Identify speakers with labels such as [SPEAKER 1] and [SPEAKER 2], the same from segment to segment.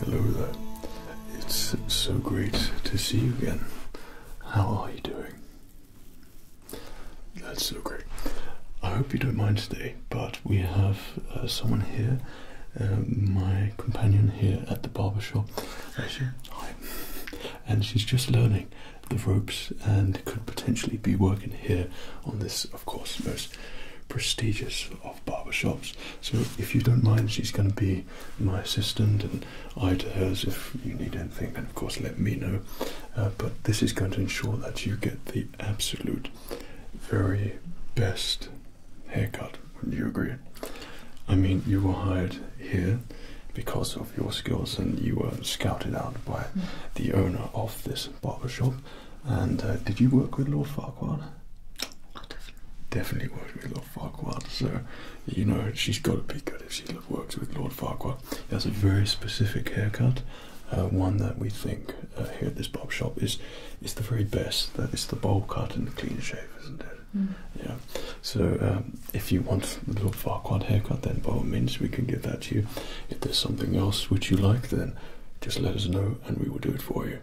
[SPEAKER 1] Hello there. It's so great to see you again. How are you doing? That's so great. I hope you don't mind today, but we have uh, someone here, uh, my companion here at the barbershop. Hi. And she's just learning the ropes and could potentially be working here on this, of course, most prestigious of barbershops. So if you don't mind, she's going to be my assistant and I to hers. If you need anything, then of course let me know. Uh, but this is going to ensure that you get the absolute very best haircut. Wouldn't you agree? I mean, you were hired here because of your skills and you were scouted out by the owner of this barbershop and uh, did you work with Lord Farquhar? Oh, definitely. worked with Lord Farquhar. So, you know, she's got to be good if she works with Lord Farquhar. He has a very specific haircut, uh, one that we think uh, here at this bob shop is is the very best. That is the bowl cut and the clean shave, isn't it? Mm. Yeah. So, um, if you want the Lord Farquhar haircut, then by all means we can give that to you. If there's something else which you like, then just let us know and we will do it for you.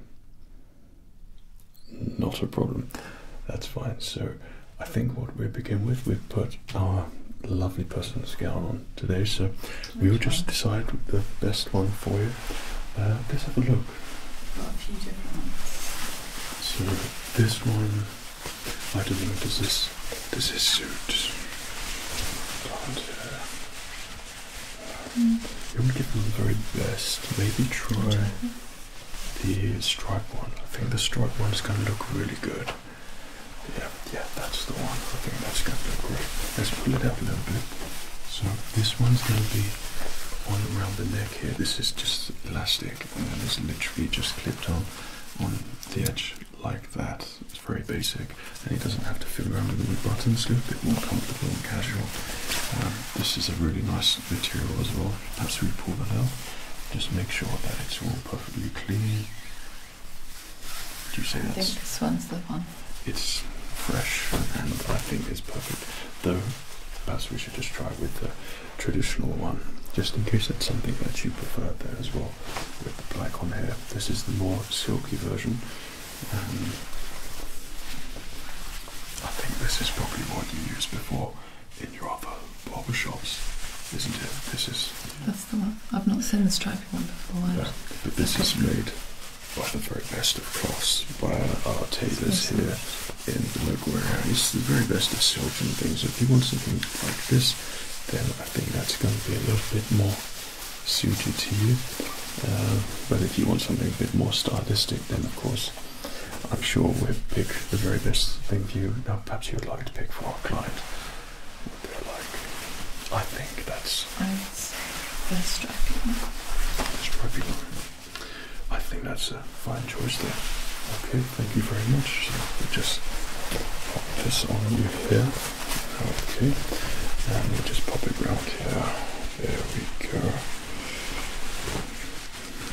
[SPEAKER 1] Not a problem. That's fine. So I think what we begin with, we've put our lovely person's gown on today. So we'll just decide the best one for you. Uh, let's have a look. Got a few different ones. So this one, I don't know. Does this does this suit? Mm. I to give them the very best. Maybe try the stripe one. I think the stripe one is going to look really good. Yeah, yeah, that's the one. I think that's going to look great. Let's pull it up a little bit. So this one's going to be on around the neck here. This is just elastic and it's literally just clipped on on the edge like that. It's very basic and he doesn't have to fiddle around with all the buttons. Look a bit more comfortable and casual. Um, this is a really nice material as well. Perhaps we pull that out. Just make sure that it's all perfectly clean. Do you say that? I think this one's the one. It's fresh and I think it's perfect. Though perhaps we should just try with the traditional one, just in case that's something that you prefer there as well. With the black on here, this is the more silky version. Um, I think this is probably what you used before in your other barber shops, isn't it? This is. That's the one. I've not seen the stripy one before. but this is made by the very best of cloths by our, our tailors here in the local It's the very best of silk and things. If you want something like this, then I think that's going to be a little bit more suited to you. Uh, but if you want something a bit more stylistic, then of course, I'm sure we'll pick the very best thing for you. Now, perhaps you'd like to pick for our client what they're like. I think that's. I would say the stripy The stripy I think that's a fine choice there. Okay, thank you very much. we'll just pop this on you here. Okay, and we'll just pop it round here. There we go.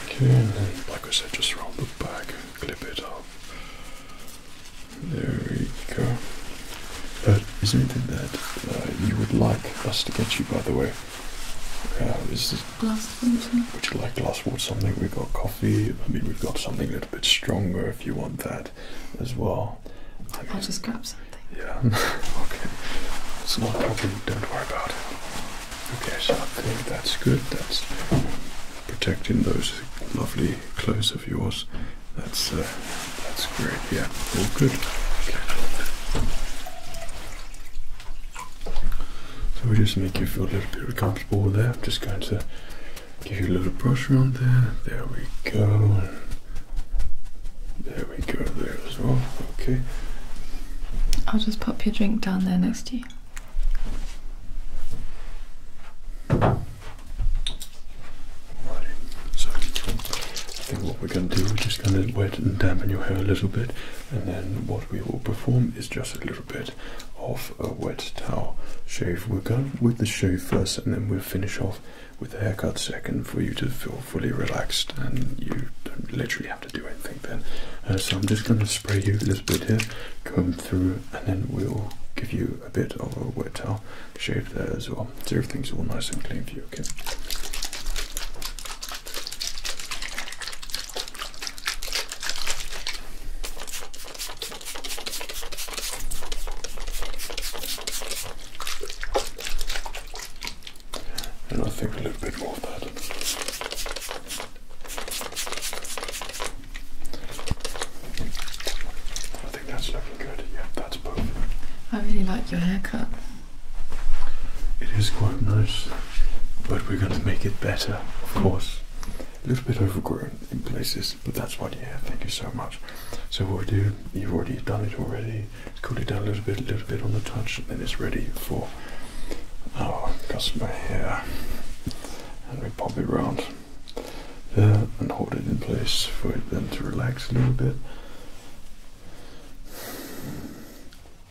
[SPEAKER 1] Okay, like I said, just roll the back, clip it up. There we go. But is there anything that uh, you would like us to get you, by the way? Uh, is Would you like glass water? Something? We've got coffee. I mean, we've got something a little bit stronger if you want that as well. I will just grab something. Yeah, okay. It's not a problem, don't worry about it. Okay, so I think that's good. That's protecting those lovely clothes of yours. That's, uh, that's great, yeah. All good. Okay. So we just make you feel a little bit more comfortable there. I'm just going to give you a little brush around there. There we go. There we go, there as well. Okay. I'll just pop your drink down there next to you. Alrighty. So I think what we're going to do is just going to wet and dampen your hair a little bit, and then what we will perform is just a little bit of a wet towel shave. We'll go with the shave first, and then we'll finish off with the haircut second for you to feel fully relaxed and you don't literally have to do anything then. Uh, so I'm just going to spray you a little bit here, comb through, and then we'll give you a bit of a wet towel shave there as well. So everything's all nice and clean for you, okay? and I think a little bit more of that. I think that's looking good. Yeah, that's perfect. I really like your haircut. It is quite nice, but we're going to make it better, of course. A little bit overgrown in places, but that's what, yeah, thank you so much. So, what we do, you've already done it already, cool it down a little bit, a little bit on the touch, and then it's ready for our customer here. And we pop it round uh, and hold it in place for it then to relax a little bit.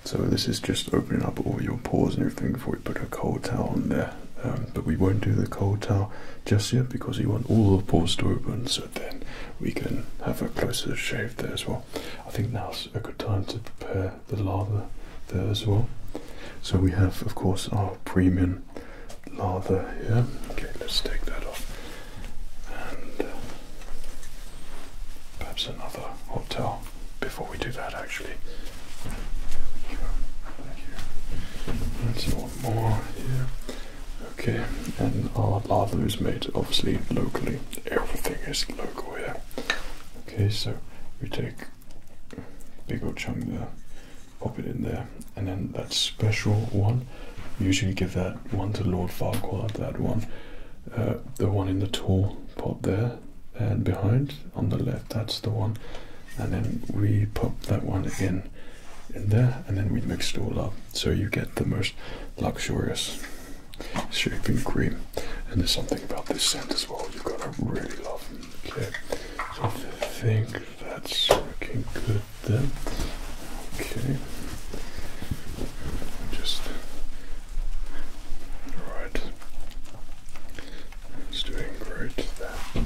[SPEAKER 1] So this is just opening up all your pores and everything before we put a cold towel on there. Um, but we won't do the cold towel just yet because we want all the pores to open. So so then we can have a closer shave there as well. I think now's a good time to prepare the lather there as well. So we have, of course, our premium lather here. Okay, let's take that off. And uh, perhaps another hotel before we do that, actually. There we go. Thank more here. Okay, and our lather is made obviously locally. Everything is local here. Okay, so we take big old chunk there, pop it in there, and then that special one. usually give that one to Lord Farquhar. That one, uh, the one in the tall pot there, and behind on the left. That's the one, and then we pop that one in in there and then we mix it all up so you get the most luxurious shaving cream. And there's something about this scent as well you're gonna really love. Okay, so I think that's looking good then. Okay, just all right. It's doing great there.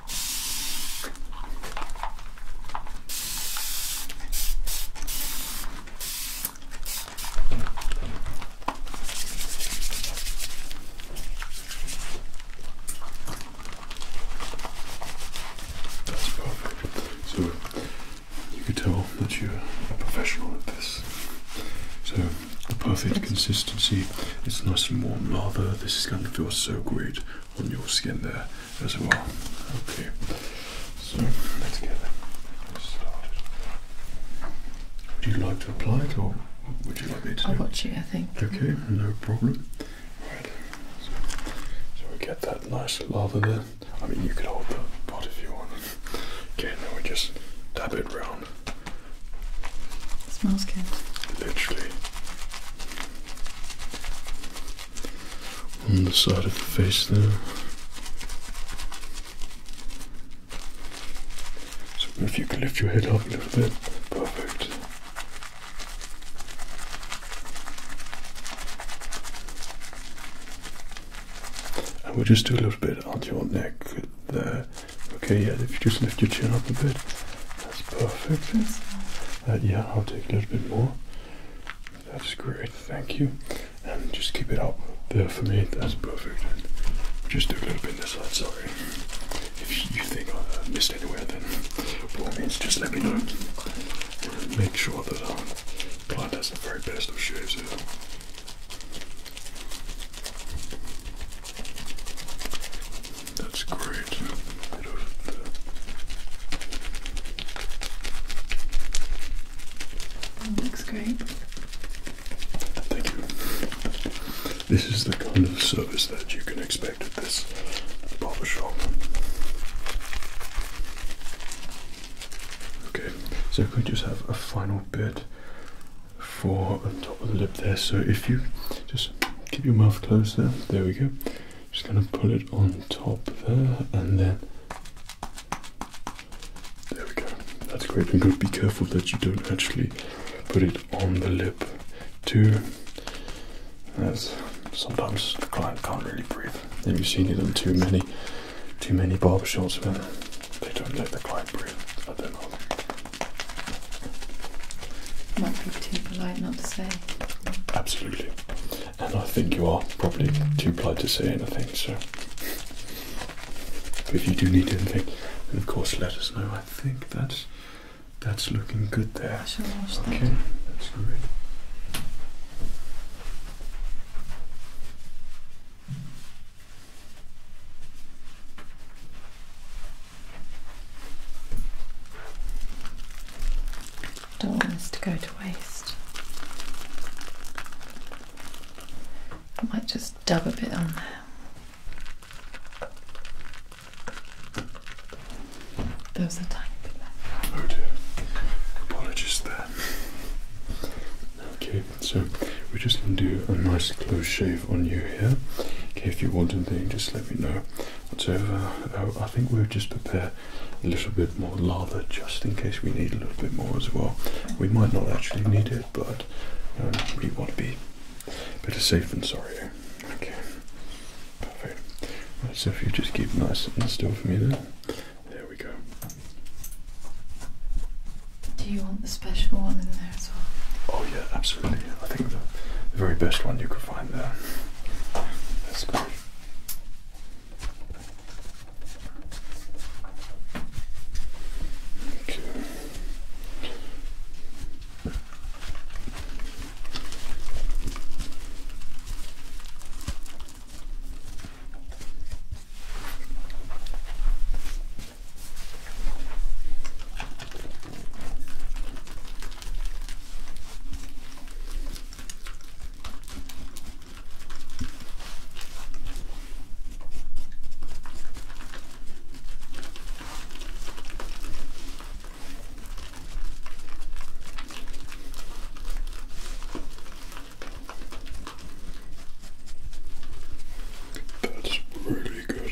[SPEAKER 1] That's perfect. So you could tell that you're a professional at this. So the perfect consistency. It's nice and warm. Rather, this is going to feel so great on your skin there as well. Okay, so let's Would you like to apply it or would you like me to? it? I'll watch it? I think. Okay, no problem. so, we get that nice lather there. I mean, you could hold the pot if you want. Okay, now we just dab it round. It smells good. Literally on the side of the face there. So if you can lift your head up a little bit, perfect. And we'll just do a little bit on your neck there. Okay, yeah, if you just lift your chin up a bit that's perfect. Uh, yeah, I'll take a little bit more. That's great, thank you. And just keep it up there for me. That's perfect. Just do a little bit this sorry. If you think I uh, missed anywhere, then by all means, just let me know. Make sure that our um, client has the very best of shaves here. That's great. looks great. Thank you. This is the kind of service that you can expect at this barber shop. Okay, so we just have a final bit for the top of the lip there? So if you just keep your mouth closed there, there we go. Just going to put it on top there and then. There we go. That's great. And good. Be careful that you don't actually put it on the lip too. As sometimes the client can't really breathe. Have you seen it on too many, too many barbershops when they don't let the client breathe. I don't know. Might be too polite not to say Absolutely. And I think you are probably too polite to say anything, so but if you do need anything, then of course let us know. I think that's that's looking good there. Okay, that's great. Don't want this to go to waste. I might just dub a bit on there. There's a tiny bit left. Oh Apologies there. Okay, so we're just going to do a nice close shave on you here. Okay, if you want anything, just let me know whatsoever. Uh, I think we'll just prepare a little bit more lather just in case we need a little bit more as well. We might not actually need it, but um, we want to be better safe than sorry. Okay, perfect. so if you just keep nice and still for me there. There we go. Do you want the special one in there as well? Oh yeah, absolutely. I think the, very best one you could find there. That's great. Okay. That's really good.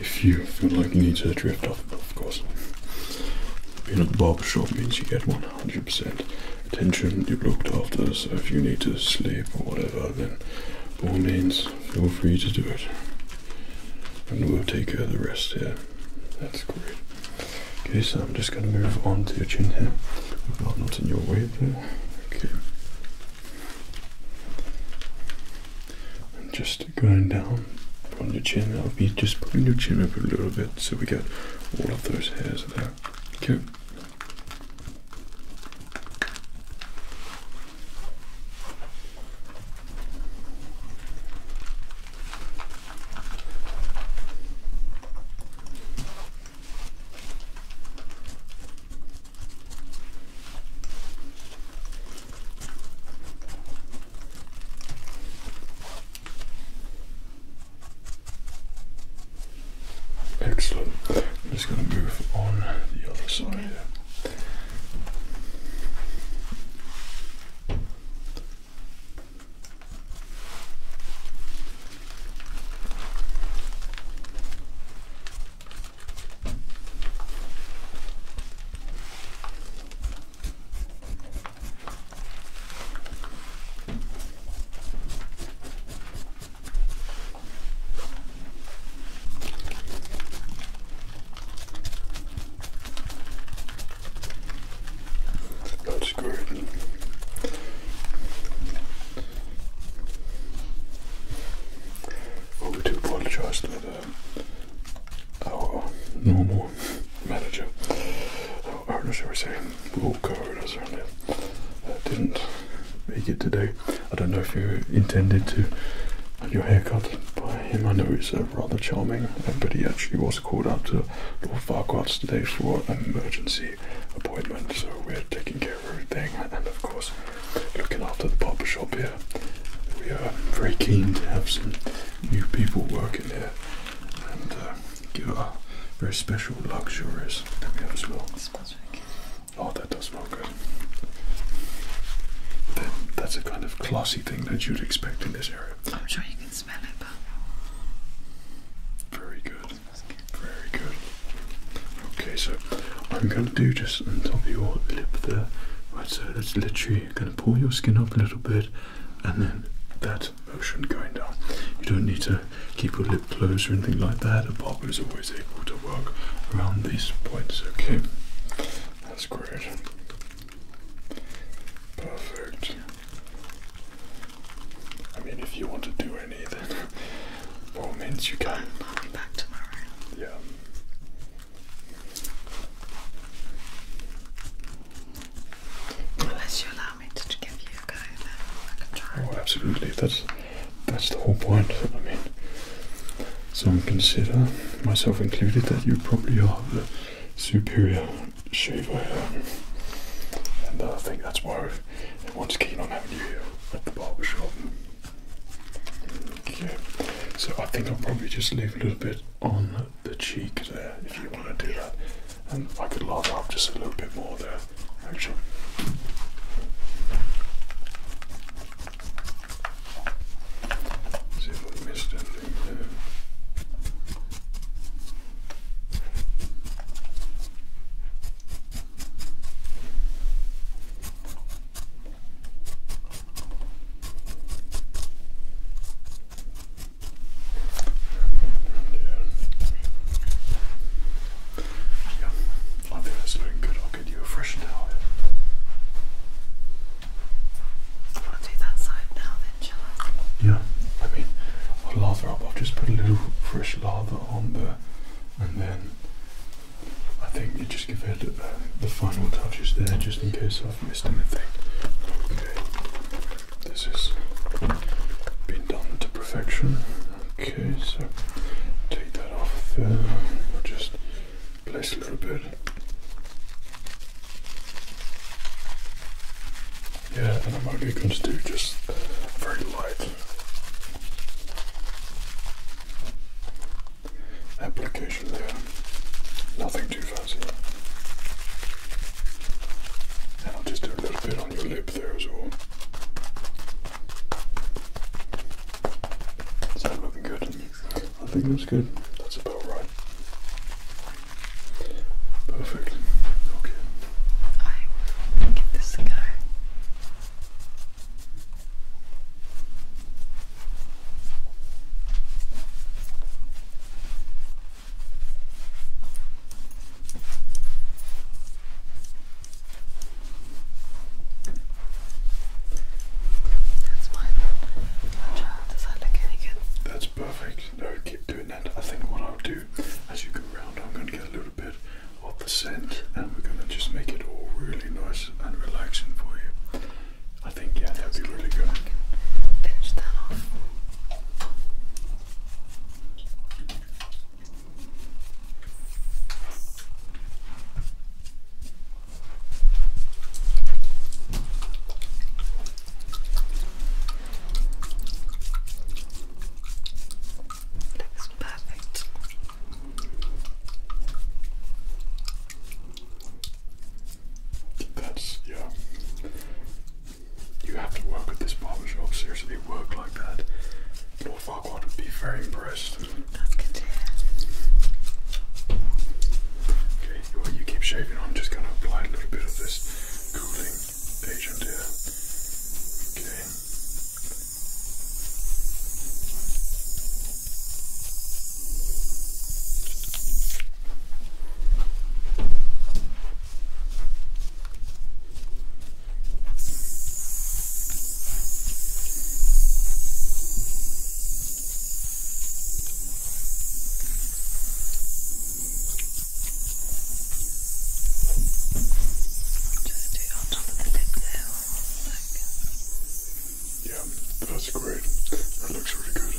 [SPEAKER 1] If you feel like you need to drift off, of course in a barber shop means you get 100% attention. You're looked after, so if you need to sleep or whatever, then all means, feel free to do it. And we'll take care of the rest here. That's great. Okay, so I'm just going to move on to your chin here. Not, not in your way there. Okay. just just going down from your chin. I'll be just pulling your chin up a little bit so we get all of those hairs there. Okay. Excellent. I'm just going to move on the other side that's good. Oh, we do apologize to our oh, normal manager, our oh, shall we say, or co-owner, certainly, uh, didn't make it today. I don't know if you intended to have your haircut by him. I know he's a rather charming, but he actually was called out to Lord Farquhar's today for an emergency appointment, so we're taking care of everything, and of course, looking after the barber shop here. We are very keen to have some new people working here and give uh, it uh, very special, luxuries. Let we have as well. Oh, that does smell good. that's a kind of classy thing that you'd expect in this area. I'm sure you can smell it, but. Very good. Very good. Okay, so I'm going to do just on top of your lip there. Right, so that's literally going to pull your skin up a little bit and then that motion going down. You don't need to keep your lip closed or anything like that. A bobber is always able to work around these points. Okay, that's great. Perfect. I mean, if you want to do any, then all means you can. I'll be back tomorrow. Yeah. Unless you allow me to give you a go, then I can try. Oh, absolutely. That's that's the whole point. I mean, some consider, myself included, that you probably are the superior shaver and uh, I think that's why everyone's keen on having you here at the barber shop. so I think I'll probably just leave a little bit on the cheek there if you want to do that. And I could laugh off just a little bit more there, actually. See if I missed anything there. Yeah. I think that's looking good. I'll get you a fresh towel. I'll do that side now then, shall Yeah, I mean, i lather up. I'll just put a little fresh lather on there and then I think you just give it the final touches there just in case I've missed anything. Okay this is been done to perfection. Okay, so take that off there. We'll just place a little bit. Yeah, and I'm only going to do just very light application there. Nothing too fancy. I'll just do a little bit on your lip there as well. that looking good? I think it looks good. That's about right. Perfect. Okay. I will give this a that's fine. Does that look any good? That's perfect. No, keep doing that. I think what I'll do as you go around, I'm going to get a little bit of the scent and we're going to just make it all really nice and relaxing for you. I think yeah, that'd be really good. Looks perfect. That's yeah. You have to work at this barbershop, seriously, work like that. Lord Farquhar would be very impressed. Okay, well, you keep shaving, I'm just going to apply a little bit of this cooling agent here. Okay. Just do on top of the lip there Yeah, that's great. That looks really good.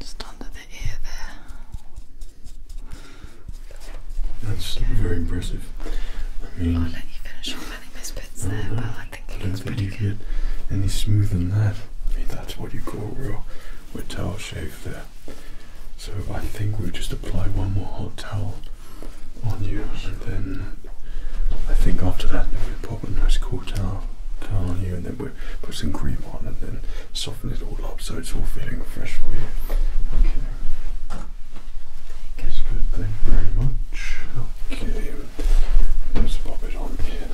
[SPEAKER 1] Just under the ear there. That's very impressive. I mean, I'll let you finish off any misfits there, know. but I think it I looks think pretty you good. Get any smoother than that? I mean, that's what you call real wet towel shave there. So I think we'll just apply one more hot towel on you, and then I think after that we'll pop a nice cool towel, towel on you, and then we'll put, some cream on and then soften it all up so it's all feeling fresh for you. Okay. That's good, thank you very much. Okay, let's pop it on here.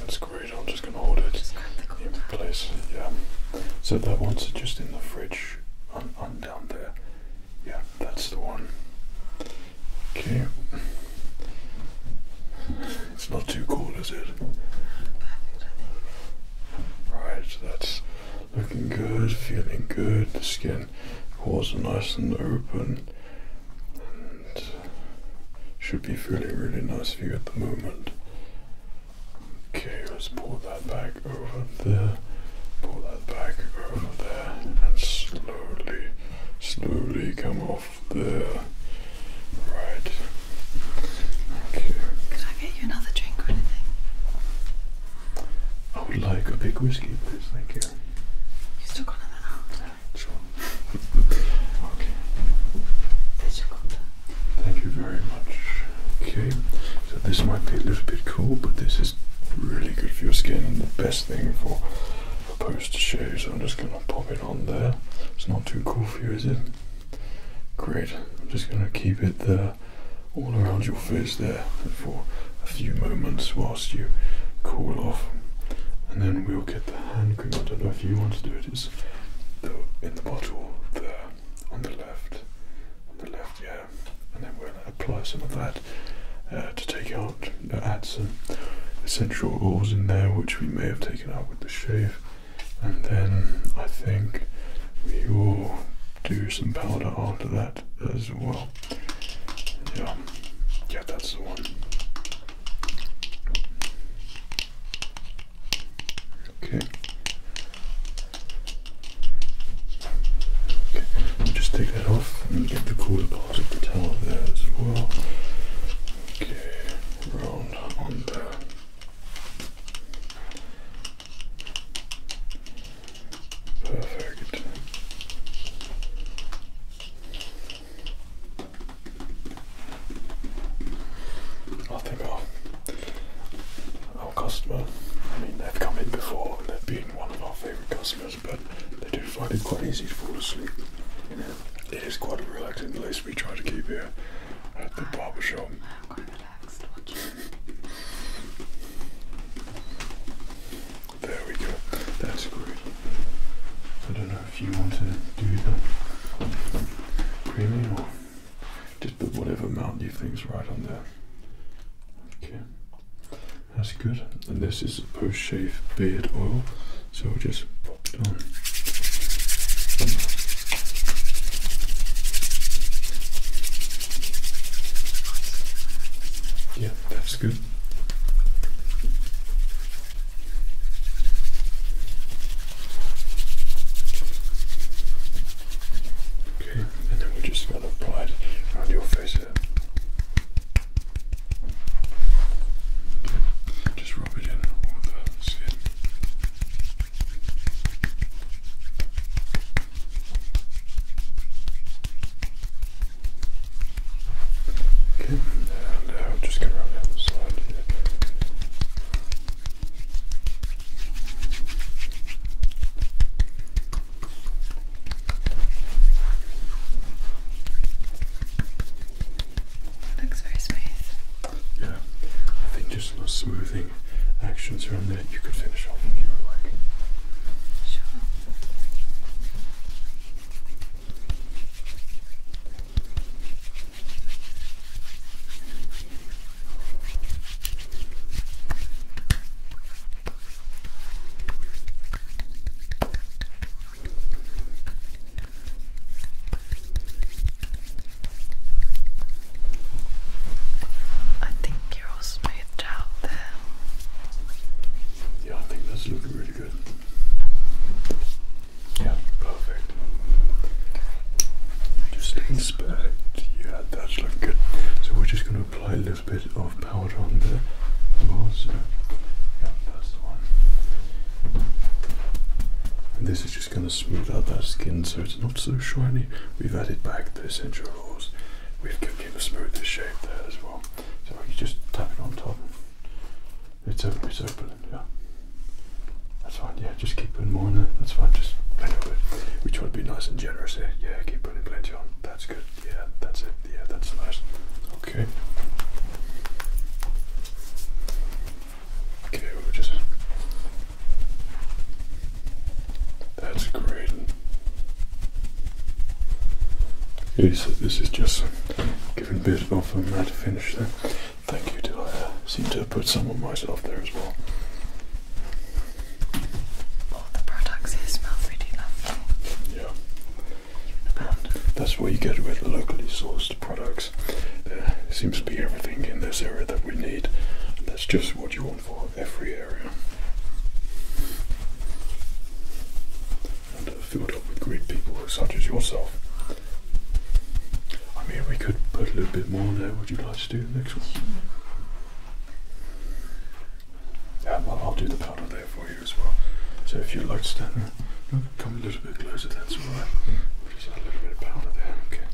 [SPEAKER 1] That's great, I'm just going to hold it in place. Yeah. So that one's just in the fridge, on, on down there. Yeah, that's the one. Okay. It's not too cold, is it? Right, so that's looking good, feeling good. The skin pores are nice and open, and should be feeling really nice for you at the moment. Okay, let's pull that back over there, pull that back over there, and slowly, slowly come on. Right. Okay. Could I get you another drink or anything? I would like a big whiskey, please. Thank you. You still got another? Sure. okay. Thank you very much. Okay, so this might be a little bit cold, but this is really good for your skin and the best thing for post I'm just gonna pop it on there. It's not too cool for you, is it? Great. I'm just gonna keep it there, all around your face there, for a few moments whilst you cool off. And then we'll get the hand cream. I don't know if you want to do it. It's in the bottle there, on the left, on the left, yeah. And then we are gonna apply some of that uh, to take out add some essential oils in there, which we may have taken out with the shave. And then I think we will do some powder after that as well. Yeah, yeah, that's the one. Okay. Okay, just take that off and get the cooler part of the towel there as well. Okay round on the perfect. I think our, our customer, I mean they've come in before and they've been one of our favourite customers but they do find it quite easy to fall asleep it is quite a relaxing place we try to keep here at the barber shop. I'm quite relaxed There we go. That's great. I don't know if you want to do the creaming or just put whatever amount you think's right on there. Okay. That's good. And this is post shave beard oil. So just pop it on. Yeah, that's good. Okay, and then we just going to apply it around your face here. Just rub it in all the skin. Okay, now uh, just going to rub it on the side here looks very smooth. Yeah, I think just a little smoothing actions around that you could finish off Sure. I think you're all smoothed out there. Yeah, I think that's looking really good. Yeah, perfect. Just inspect. Yeah, that's looking good. So we're just going to apply a little bit of powder on there. walls. yeah, that's one. And this is just going to smooth out that skin so it's not so shiny. We've added back the essential oils. We've given a smoother shape there as well. So you just tap it on top. It's open, it's open, yeah. That's fine, yeah, just keep putting more in there. That's fine, just plenty of it. We try to be nice and generous here. Eh? Yeah, keep putting plenty on. That's good. Yeah, that's it. Yeah, that's nice. Okay. Give it over just. That's great. Yes, this is just giving a bit of a to finish there. Thank you, do I seem to have put some of myself there as well? All the products here smell really lovely. Yeah. Even the pound. That's where you get with locally sourced products. Uh, there seems to be everything in this area that we need. that's just what you want for every area. And uh, filled up with great people such as yourself. I mean, we could put a little bit more on there. Would you like to do the next one? well, I'll do the powder there for you as well. So if you'd like to stand come a little bit closer, that's alright. Just a little bit of powder there, okay.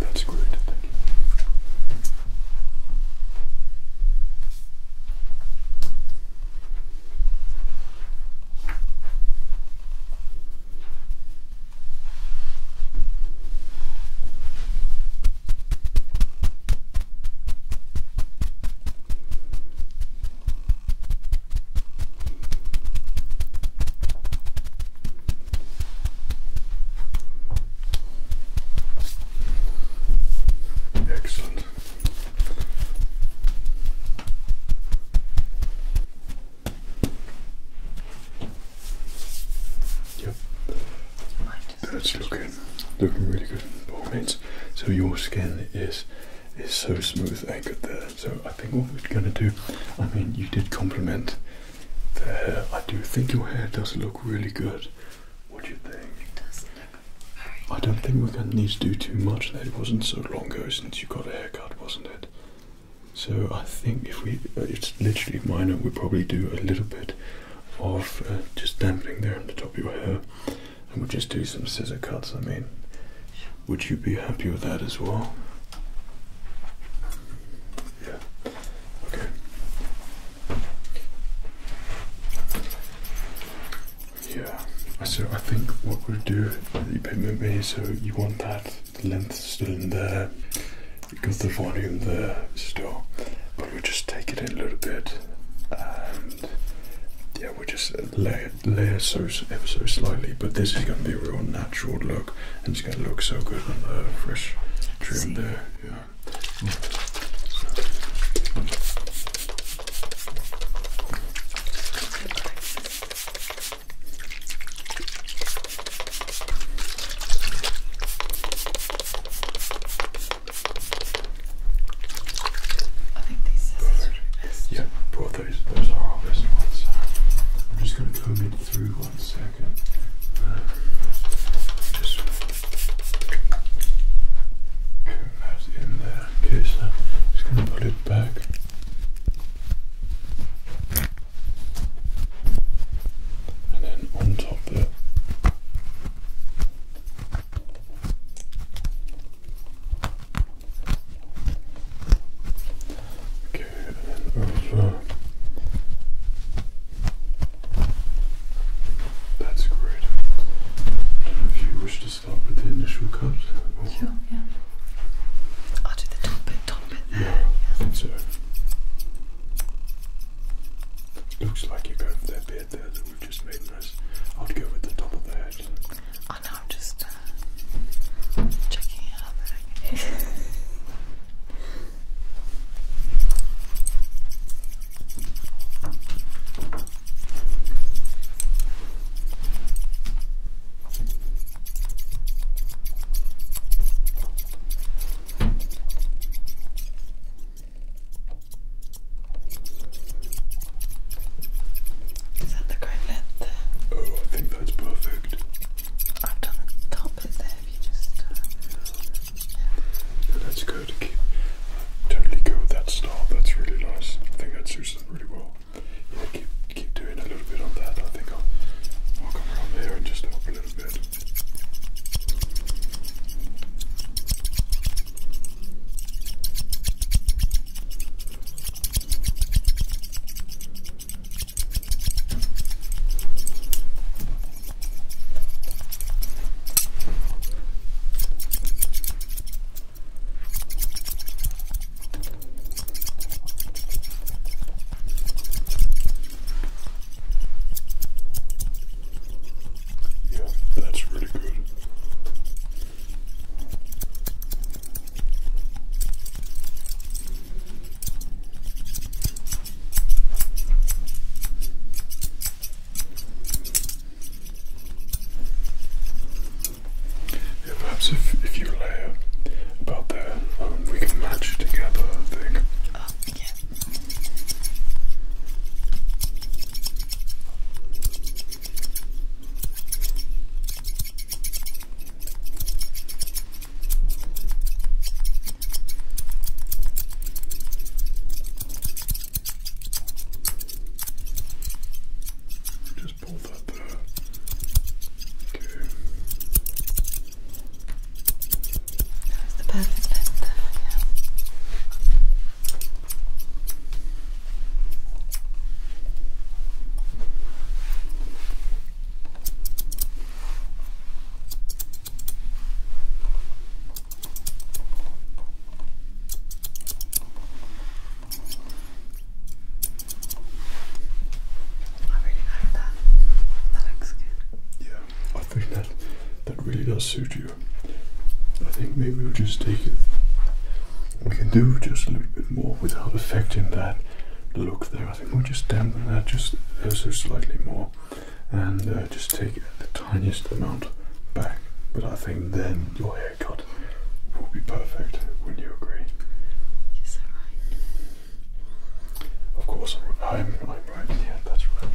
[SPEAKER 1] do that screwed, thank you. Excellent. Yep. That's looking looking really good. So your skin is is so smooth and good there. So I think what we're gonna do. I mean, you did compliment the hair. I do think your hair does look really good. What do you think? It does look very. I don't think we're gonna need to do too much. There, it wasn't so long ago since you got a haircut, wasn't it? So I think if we, uh, it's literally minor. We probably do a little bit of uh, just dampening there on the top of your hair, and we'll just do some scissor cuts. I mean, sure. Would you be happy with that as well? Yeah. Okay. Yeah. So I think what we'll do, the payment may. so you want that length still in there. You got the volume there still. But we'll just take it in a little bit and we'll just uh, layer, layer so ever so slightly, but this is going to be a real natural look, and it's going to look so good on the fresh trim there. Yeah those our best ones. I'm just going to comb it through one second. just comb that in there. Okay, so just going to put it back. And then on top there. Okay, and over. That's great. If you wish to start with the initial cut, I'll do the top bit, top bit Yeah, I think so. Looks like you're going for that bit there that we've just made nice. I'd go with the top of the Oh no, I'm just uh, checking out is that the correct length? Oh, I think that's perfect. I've done the top bit there if you just. Uh, yeah. that's good. Keep, totally go with that style. That's really nice. I think that suits them really well. Yeah, keep, keep doing a little bit on that. I think I'll, I'll come around there and just help a little bit. Yeah, that's really good. Yeah, perhaps if, if you layer about there, um, we can match together, I just pull that there. Okay. That's the perfect fit there, yeah. I really like that. That looks good. Yeah, I think that that really does suit you. I think maybe we'll just take it. We can do just a little bit more without affecting that look there. I think we'll just dampen that just ever slightly more and uh, just take the tiniest amount back. But I think then your haircut will be perfect. would you agree? Yes, right. Of course, I'm, right. Yeah, that's right.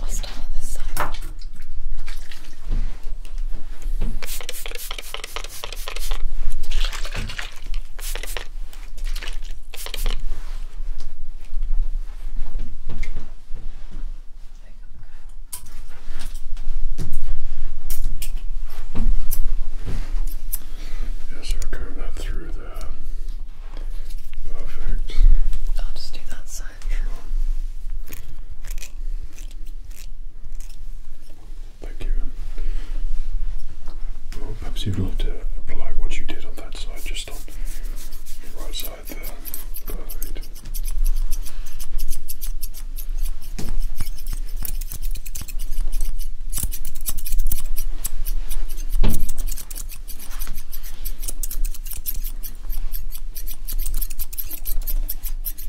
[SPEAKER 1] i on this side. Yes, I'll comb through there. Perfect. I'll just do that side. Thank you. perhaps you'd like to apply what you did on that side, just on the right side there.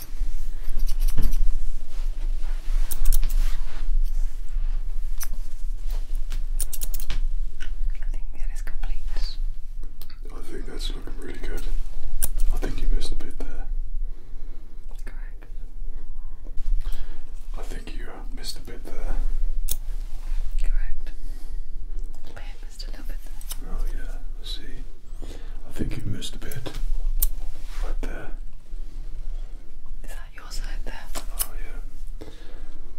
[SPEAKER 1] I think that is complete. I think that's looking really good. I think you missed a bit there. Correct. I think you uh, missed a bit there. Correct. I missed a little bit there. Oh yeah, see. I think you missed a bit. Right there. Is that your side there? Oh yeah.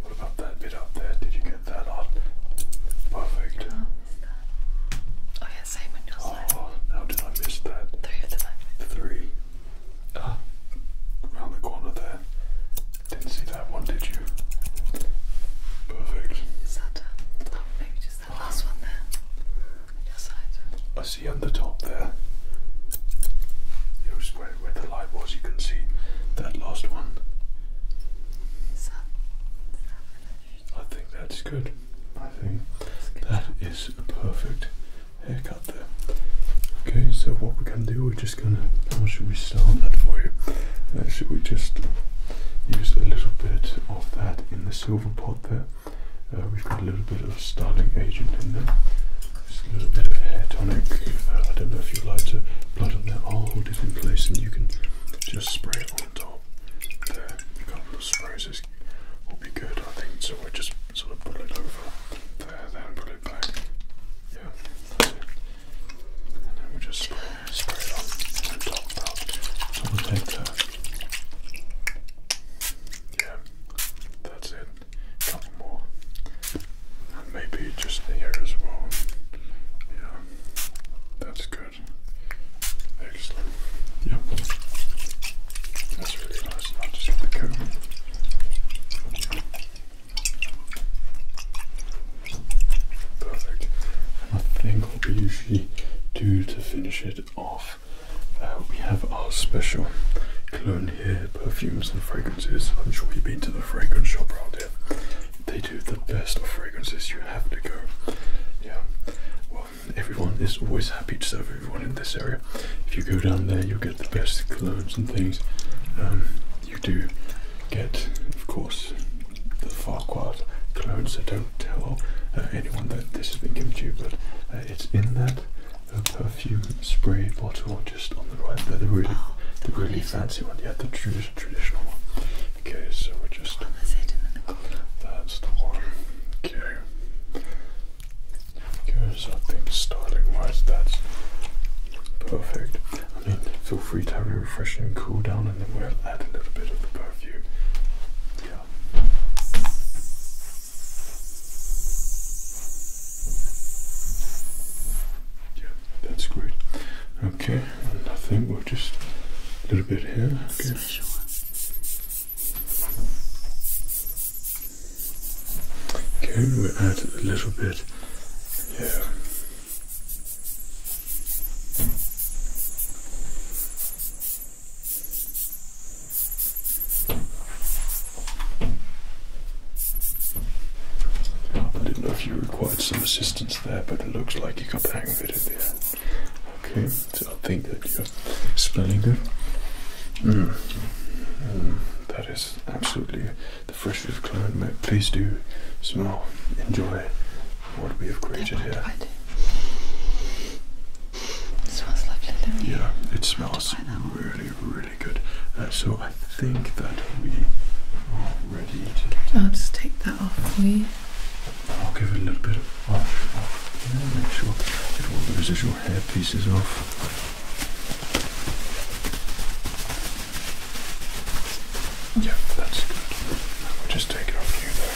[SPEAKER 1] What about that bit up there? Did you get that on? Perfect. Oh, that. oh yeah, same on your oh, side. Oh, how did I miss that? Three of them actually. Three. Ah. Around the corner there. Didn't see that one, did you? Perfect. Is that done? Uh, oh, maybe just last one there? I see on the top there. It was where, where the light was. You can see that last one. that, is that I think that's good. I think good a perfect haircut there. Okay, so what we can do? We're just gonna. should we start that for you? Uh, should we just use a little bit of that in the silver pot there? Uh, we've got a little bit of styling agent in there. Just a little bit of hair tonic. Uh, I don't know if you would like to blood on there. I'll hold it in place and you can just spray it on top. a couple of sprays will be good, I think. So we just sort of put it over there, then put it back. Yeah, And then we just spray, it on, on top. So we'll take yeah, that's it. Couple more. maybe just here as well. Yeah, that's good. Excellent. Yep. That's really nice. I'll just get the comb. Perfect. And I think what we usually do to finish it off uh, we have our special cologne here, perfumes and fragrances. I'm sure you've been to the fragrance shop around here. They do the best of fragrances. You have to go. Yeah. Well, everyone is always happy to serve everyone in this area. If you go down there, you'll get the best clones and things. Um, you do get, of course, the Farquhar clones. I don't tell uh, anyone that this has been given to you, but uh, it's in that uh, perfume spray bottle just on the right there, the really, oh, the really fancy one, yeah, the true traditional one. Okay, so we're just. That's the one. Okay. Because I think styling wise, that's perfect. I mean, feel free to have a refreshing cool down and then we'll add a little bit of the perfume. Yeah. Yeah, that's great. Okay, I think we are just a little bit here. Okay. we add a little bit here. I didn't know if you required some assistance there, but it looks like you got the hang of it at Okay, so I think that you're spelling good. Mm. Mm. That is absolutely the freshest clone, mate. Please do smell, enjoy what we have created here. It smells lovely, does Yeah, it smells really, really good. Uh, so I think that we are ready to. I'll just take that off for you. I'll give it a little bit of wash off. Yeah, make sure that all the residual hair pieces off. Yeah, that's good. We'll just take it off you there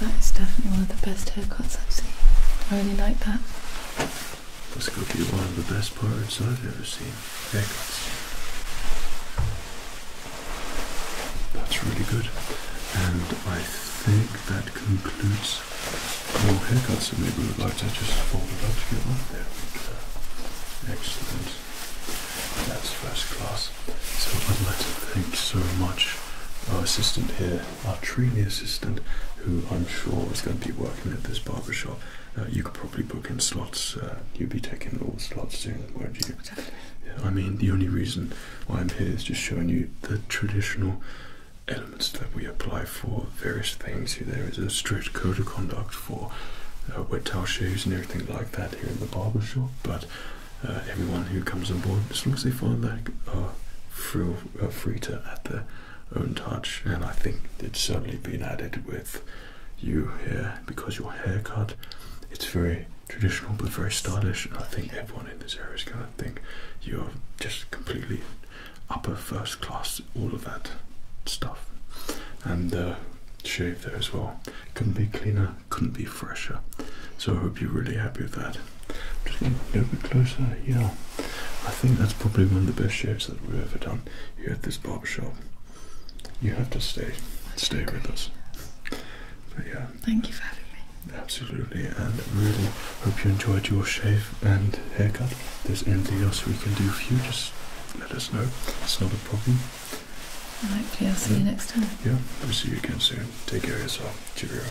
[SPEAKER 1] that is definitely one of the best haircuts I've seen. I really like that. That's going to be one of the best parts I've ever seen. Haircuts. That's really good. And I think that concludes all haircuts. So maybe we would like to just fold it up to get one. There Excellent. That's first class. So I'd like to thank so much our assistant here, our trainee assistant, who I'm sure is going to be working at this barbershop. Uh, you could probably book in slots. Uh, you would be taking all slots soon, would not you? Yeah, I mean, the only reason why I'm here is just showing you the traditional elements that we apply for various things. There is a strict code of conduct for uh, wet towel shoes and everything like that here in the barber shop. But uh, everyone who comes on board, as long as they find that, are free, uh, to add their own touch. And I think it's certainly been added with you here because your haircut, it's very traditional but very stylish. And I think everyone in this area is going to think you're just completely upper first class all of that stuff. And uh, shave there as well. Couldn't be cleaner, couldn't be fresher. So I hope you're really happy with that. just get to go a bit closer. Yeah, I think that's probably one of the best shaves that we've ever done here at this barber shop. You have to stay, stay with us. But yeah. Thank you for having me. Absolutely, and really hope you enjoyed your shave and haircut. there's anything else we can do for you, just let us know. It's not a problem. All right, yeah, I'll see you next time. Yeah, we'll see you again soon. Take care of yourself. Cheerio.